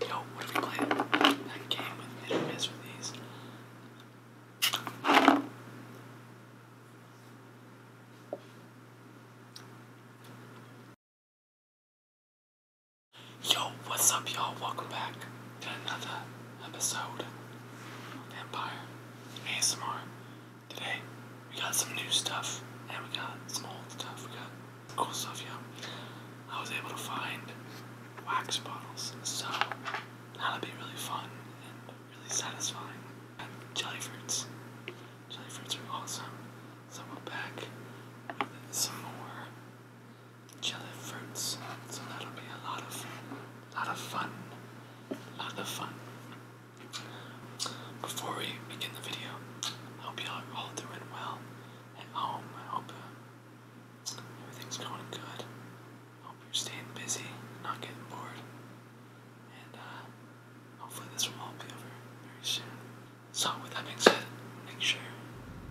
Yo, what if we play that game with hit and miss with Yo, what's up, y'all? Welcome back to another episode of Vampire ASMR. Today, we got some new stuff, and we got some old stuff. We got cool stuff, yeah. I was able to find wax bottles, so that'll be really fun and really satisfying. And jelly fruits. Jelly fruits are awesome. So we'll back with some more jelly fruits. So that'll be a lot of lot of fun. lot of fun. Before we begin the video, I hope y'all all doing well at home. I hope uh, everything's going good. hope you're staying busy, not getting bored. And uh, hopefully this will all be over very soon. So with that being said, make sure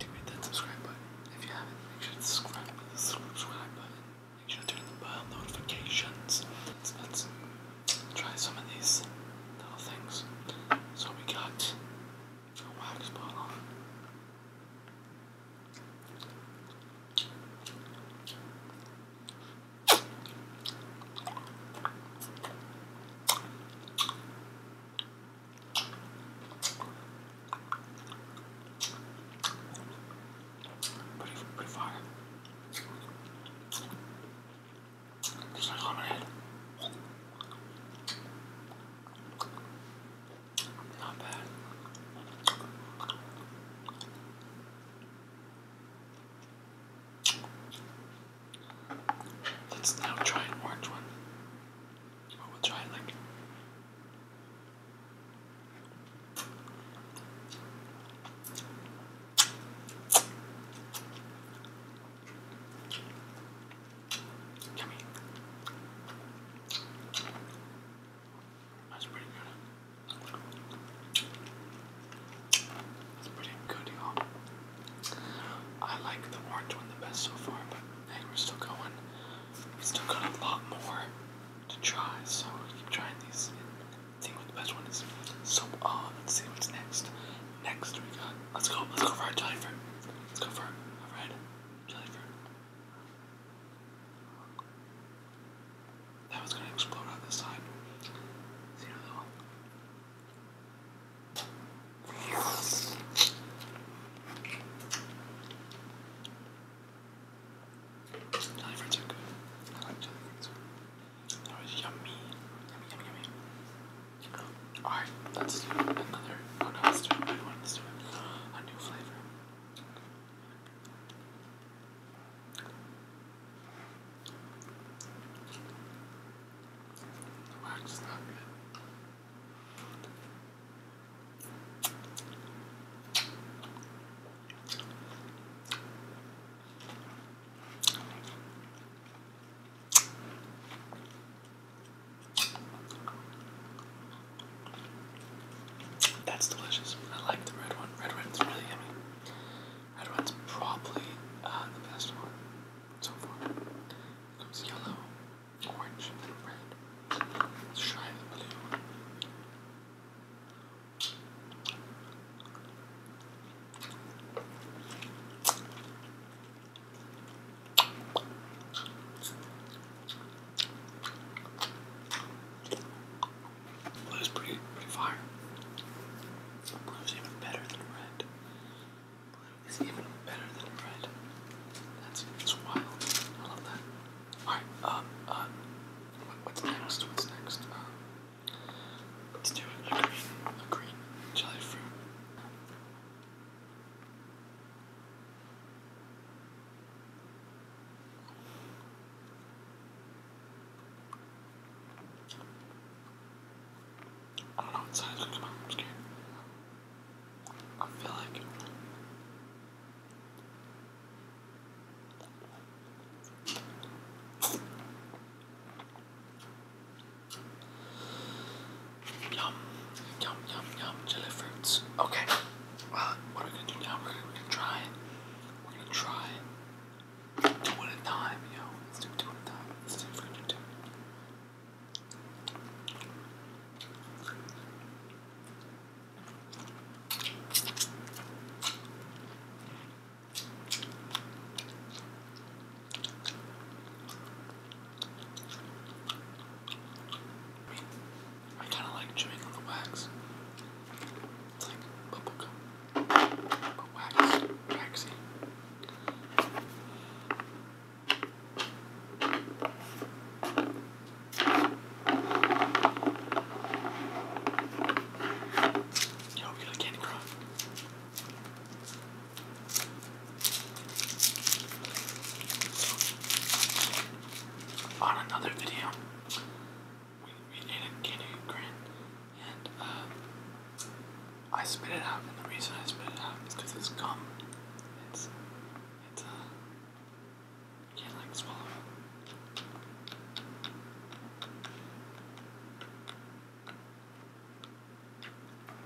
to hit that subscribe button. If you haven't, make sure to subscribe to the subscribe button. Make sure to turn on the bell notifications. that's try some of these little things. So we got a wax bottle. Pretty, pretty far. Not bad. Let's now try an orange one. Oh, we'll try it like Yummy. That's pretty good. That's pretty good, y'all. I like the orange one the best so far, but hey, we're still going. We still got a lot more to try, so we keep trying these. I what the best one is. So, um, let's see what's next. Next we got, let's go, let's go for our jelly fruit. Let's go for our red jelly fruit. That was gonna explode on this side. See another one. Jelly That was yummy. Alright, let's do another. let's do a one. Let's do a new flavor. The wax not good. That's delicious. I like the red one. Red one's really yummy. Red one's probably uh, the best one so far. It comes yellow, orange, and red. Let's try the blue one. That's is pretty, pretty fire. Blue is even better than red. Blue is even better than red. That's, that's wild. I love that. Alright, um, uh, what's next? What's next? Um, let do a green, a green jelly fruit. I don't know what size come out. I'm scared. I feel like Yum, yum, yum, yum, jelly fruits. Okay, uh, what are we gonna do now? We're gonna, try We're gonna try two at a time, you Let's do two at a time. Let's see if we two. I kind of like chewing on the wax. It's like bubble gum. But waxy. Yo, we got a candy crop. on another video, we, we ate a candy grand and uh, I spit it out, and the reason I spit it out is because it's gum. It's it's, uh, can't, like, swallow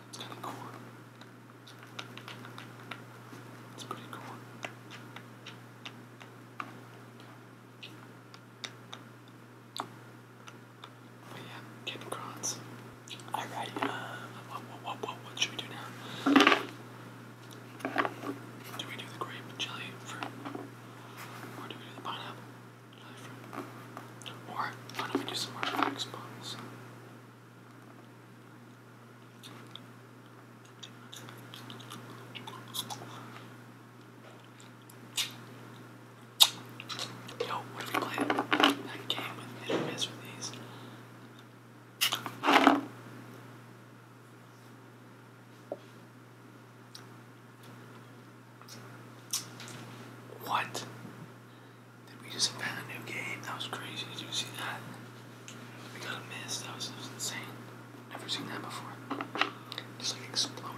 It's kind of cool. It's pretty cool. But yeah, Captain Alright, uh, what, what, what, what should we do now? Do we do the grape jelly fruit? Or do we do the pineapple jelly fruit? Or why don't we do some more Yo, what if we play that game with hit or these? What? Did we just invent a new game? That was crazy. Did you see that? We got a miss. That was, insane. Never seen that before. Just like exploded.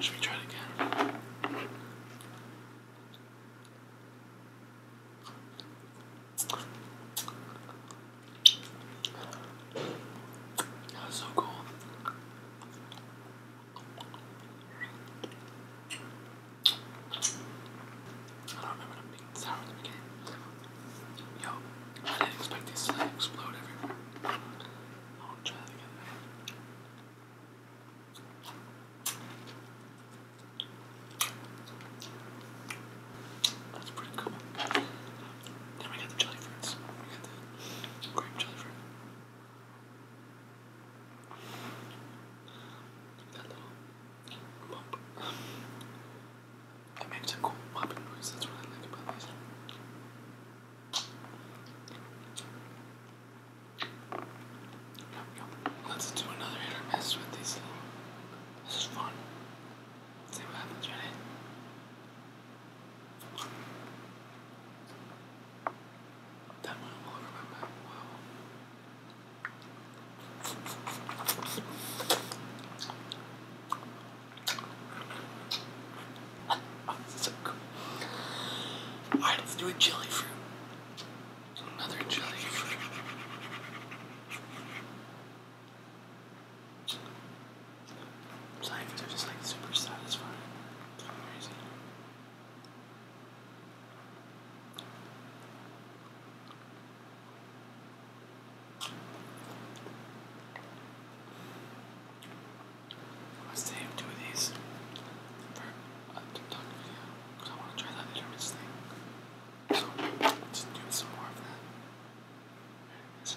Should we try it again? That's so cool. I don't remember Yo, I didn't expect this to explode everywhere. That's pretty cool. Then we got the jelly fruits. We got the grape jelly fruit. That little Bump. It makes cool popping noise. That's what I like about these. Let's do another hit with these. This is fun. see what happens, right? That one will remember well. Alright, let's do a jelly fruit. Another jelly fruit. It's like, just like super satisfying. I'll two of these for a uh, TikTok video because I want to try that determinants thing. So, let do some more of that.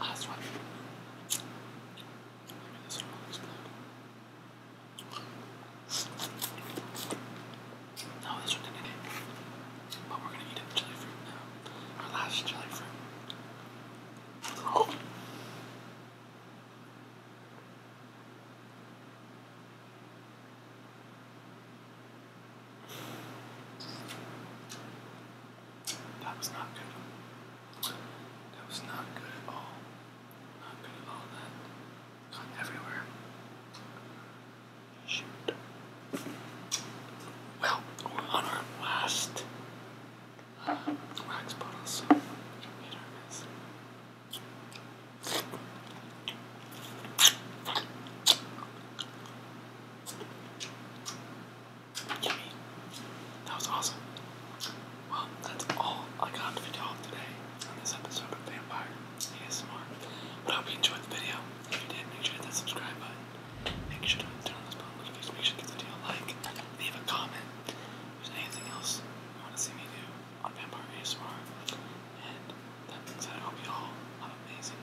Last one. Maybe this one will explode. No, this one didn't. But we're gonna eat a jelly fruit now. Our last jelly fruit. Oh. That was not good. That was not good at all. Not good at all. gone everywhere. Shoot. Well, on our last uh, wax bottle, that was awesome. Well, that's all I got for y'all today on this episode of Vampire ASMR. But hope you enjoyed the video. If you did, make sure to hit that subscribe button. Make sure to turn on those notifications. Make sure to give the video a like. Leave a comment. anything else you want to see me do on Vampire ASMR. And that being said, I hope you all have amazing